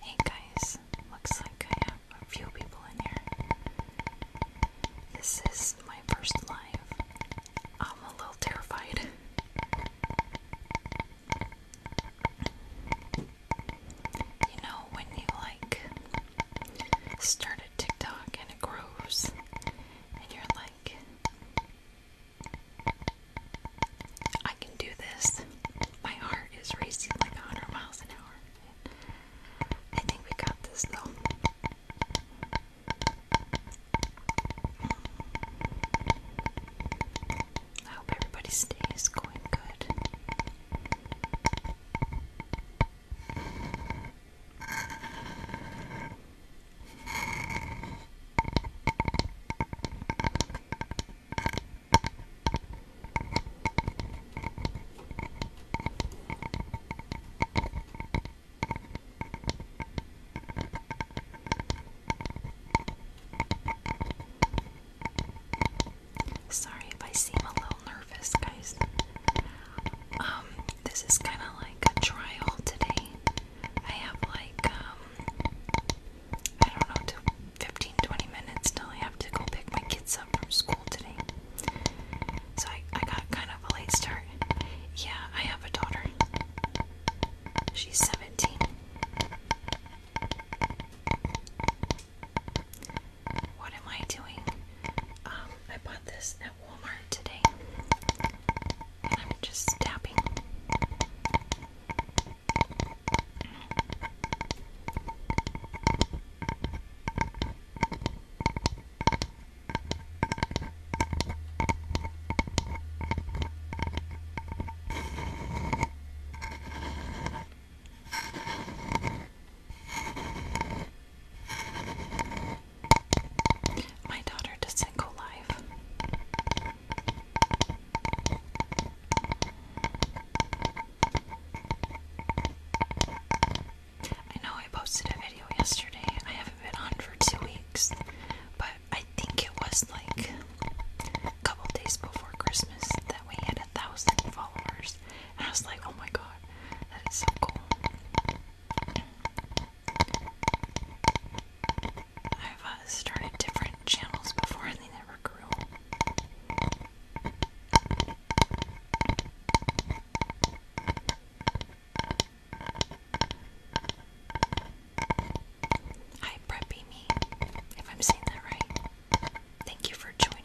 Hey guys, looks like I have a few people in here. This is my first live. I'm a little terrified. You know, when you like start a TikTok and it grows, and you're like, I can do this. My heart is racing like a 100 miles an hour. I think we got this though. I hope everybody's stay is going good. Sorry if I seem a little nervous, guys. Um, this is kind of like a trial today. I have like um I don't know, till 15 20 minutes till I have to go pick my kids up from school today. So I, I got kind of a late start. Yeah, I have a daughter. She's 17. What am I doing? Um, I bought this at Walmart today. I'm just tapping. My daughter does single life. I know I posted a video yesterday. I haven't been on for two weeks, but I think it was like a couple days before Christmas that we had a thousand followers. And I was like, oh my god, that is so cool. I've uh, started different channels before and they never grew. Hi, Preppy Me, if I'm saying that right. Thank you for joining.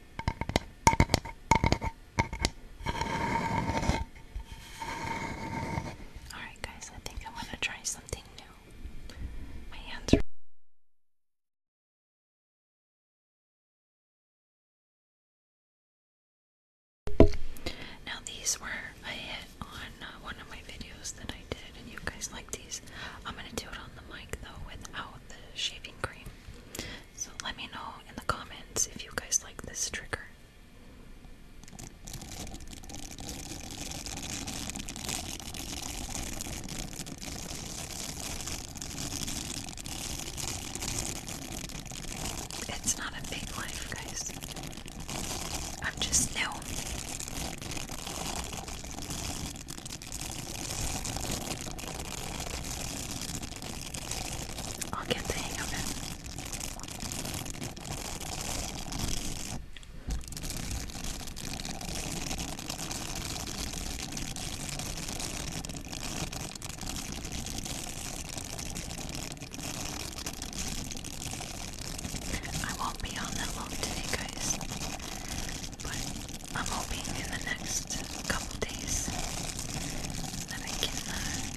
Alright, guys, I think I want to try something new. My hands are. Now, these were a hit on uh, one of my videos that I did, and you guys like these. I'm going to do it on the mic though without the shaving cream. So let me know in the comments if you guys like this trigger. It's not a big life, guys. I'm just new. I'll get the hang of it. I won't be on that long today, guys, but I'm hoping in the next couple days that I can. Uh,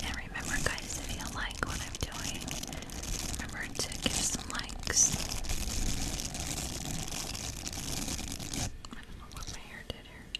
And remember, guys, if you like what I'm doing, remember to give some likes. I don't know what my hair did here.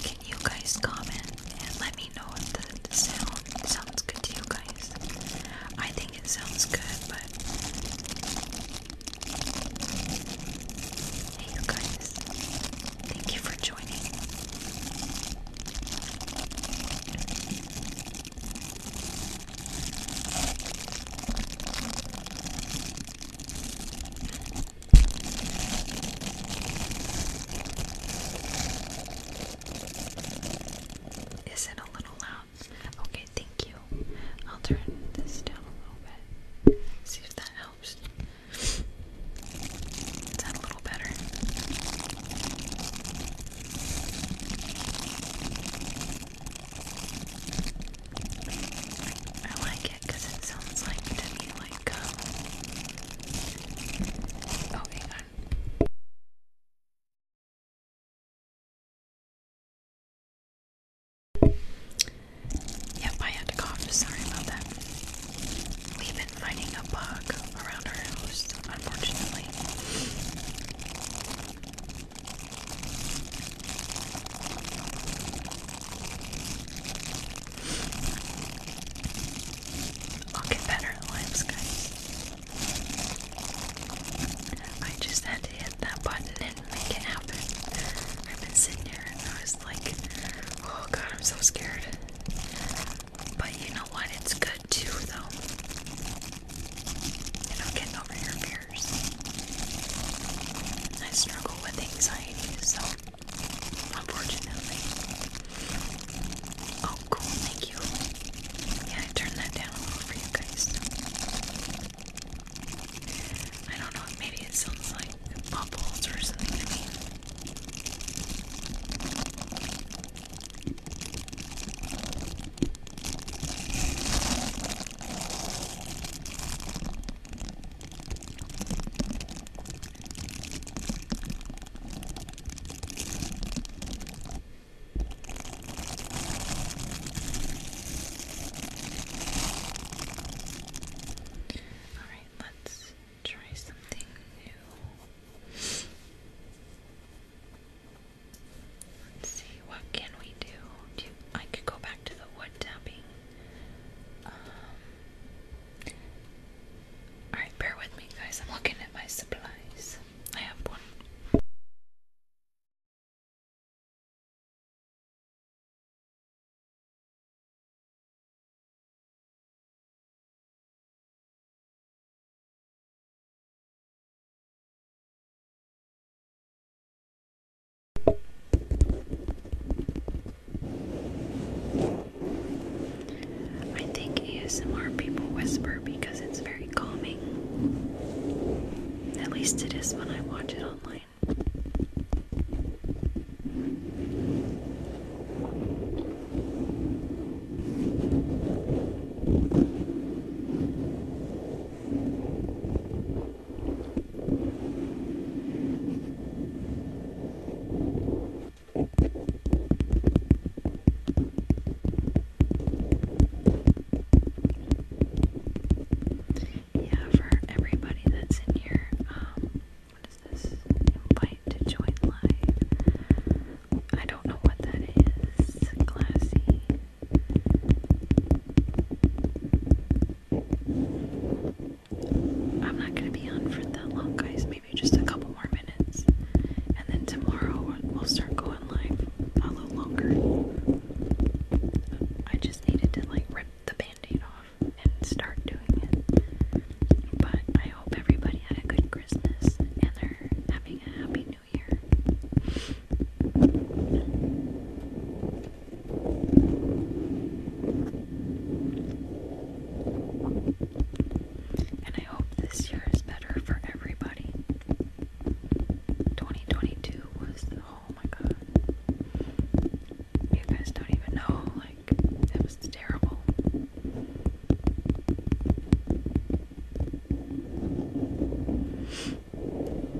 Can you guys comment and let me know if the, sound sounds good to you guys? I think it sounds good, but you guys, thank you for joining. Is it a little loud? Okay, thank you. I'll turn this down a little bit. See if that helps. that a little better? I like it because it sounds like to me like um, oh hang on. Yep, I had to cough. Sorry about that. We've been finding a bug around our house, unfortunately. I'll get better at limes, I just had to hit that button and make it happen. I've been sitting here and I was like, oh god, I'm so scared. But you know what? It's good too, though. You know, getting over your I struggle with anxiety, so unfortunately. Oh, cool. Yeah, I turned that down a little for you guys. I don't know, maybe it sounds like bubbles or something Alright, let's try something new. Let's see, what can we do? I could go back to the wood tapping. Um, alright, bear with me, guys. I'm looking at my supplies. I have one. I think ASMR people whisper because it's very calming. At least it is when I watch it online. Yeah, for everybody that's in here, um, what is this? Invite to join live. I don't know what that is. Classy. I'm not gonna be on for that long, guys. Maybe just a couple more minutes and then tomorrow we'll start going live a little longer. I just needed to like rip the band-aid off and start doing it. But I hope everybody had a good Christmas and they're having a happy new year. And I hope this year is better for everybody. 2022 was oh my god. You guys don't even know, like, it was terrible.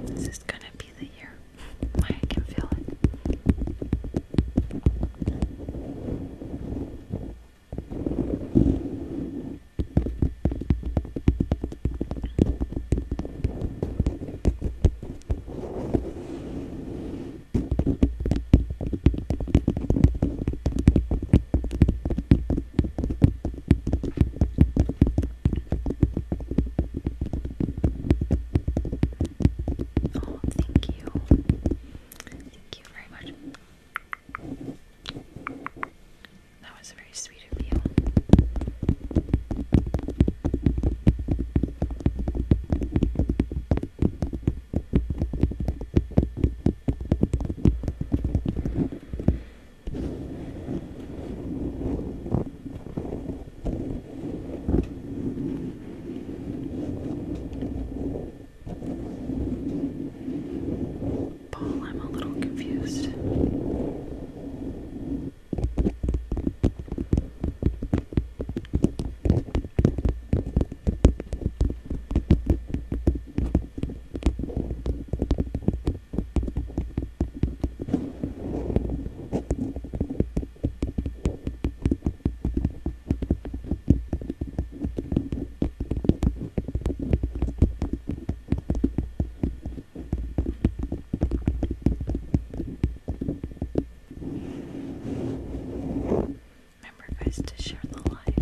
This is gonna be the year. I can feel it. Oh, thank you. Thank you very much. That was very sweet of you ball. I'm a little confused. Remember, guys, to share the life.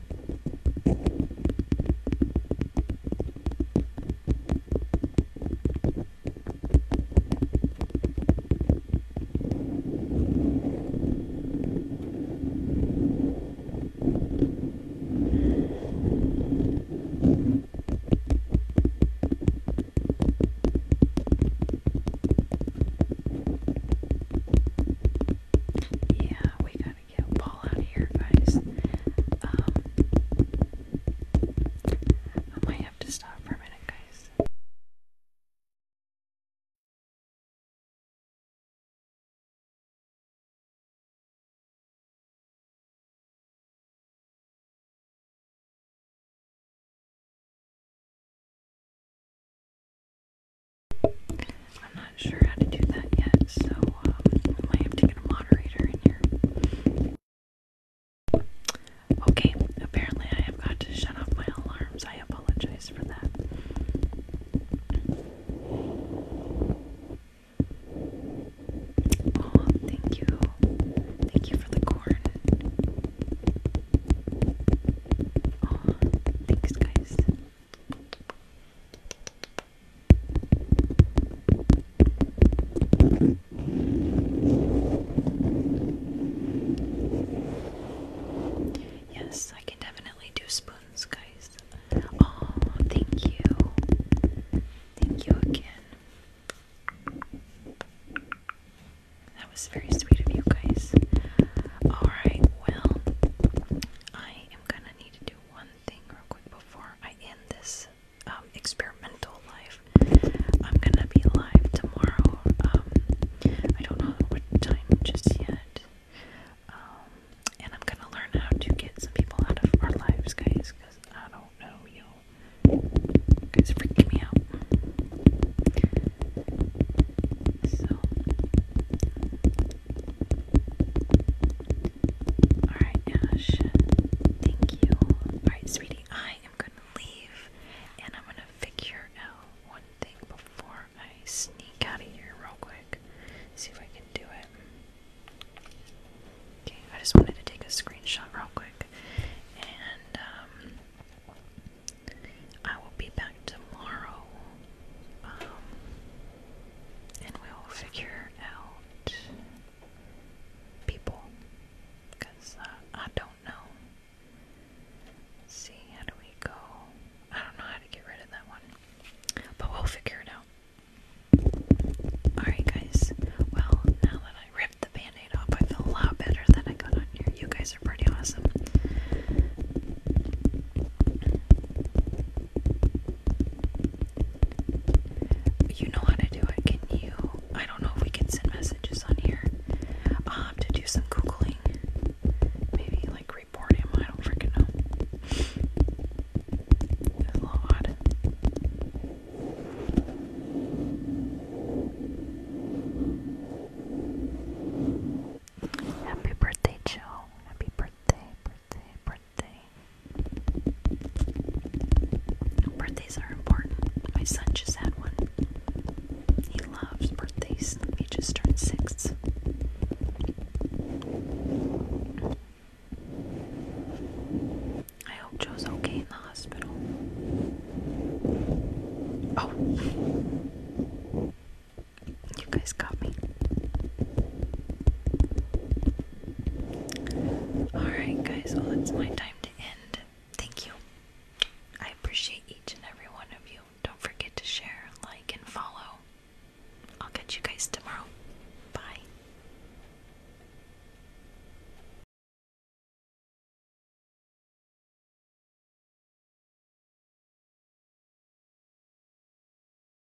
Yeah, we gotta get a ball out of here, guys. Um, I might have to stop for a minute, guys. I'm not sure how to do that yet, so I um, might have to get a moderator in here. Okay, apparently I have got to shut off my alarms. I apologize for that. Oh, thank you. Thank you for the corn. Oh, thanks, guys. Yes, I can definitely do spoons, guys. Oh, thank you. Thank you again. That was very sweet of you guys. Alright, well, I am gonna need to do one thing real quick before I end this um, experimental life. I'm gonna be live tomorrow. Um, I don't know what time just yet. Um, and I'm gonna learn how to get some people out of our lives, guys, because I don't know, yo. guys freaking me out. So. Alright, Ash. Thank you. Alright, sweetie, I am gonna leave and I'm gonna figure out one thing before I sneak out of here real quick. See if I can do it. Okay, I just wanted to take a screenshot real quick. And um, I will be back tomorrow um, and we'll figure out people. Because uh, I don't know. see, how do we go? I don't know how to get rid of that one. But we'll figure it out. Alright, guys. Well, now that I ripped the band off, I feel a lot better that I got on here. You guys are pretty awesome. You know how to do it. Can you? I don't know if we can send messages on here. Um, to do some googling, maybe like report him. I don't freaking know. It's a little odd. Happy birthday, Joe. Happy birthday, birthday, birthday, Birthdays are important. My son just had one. He loves birthdays. He just turned six. I hope Joe's okay in the hospital. Oh! You guys got me. Alright, guys, well, it's my time to end. Thank you. I appreciate each and every one of you. Don't forget to share, like, and follow. I'll catch you guys tomorrow. Bye.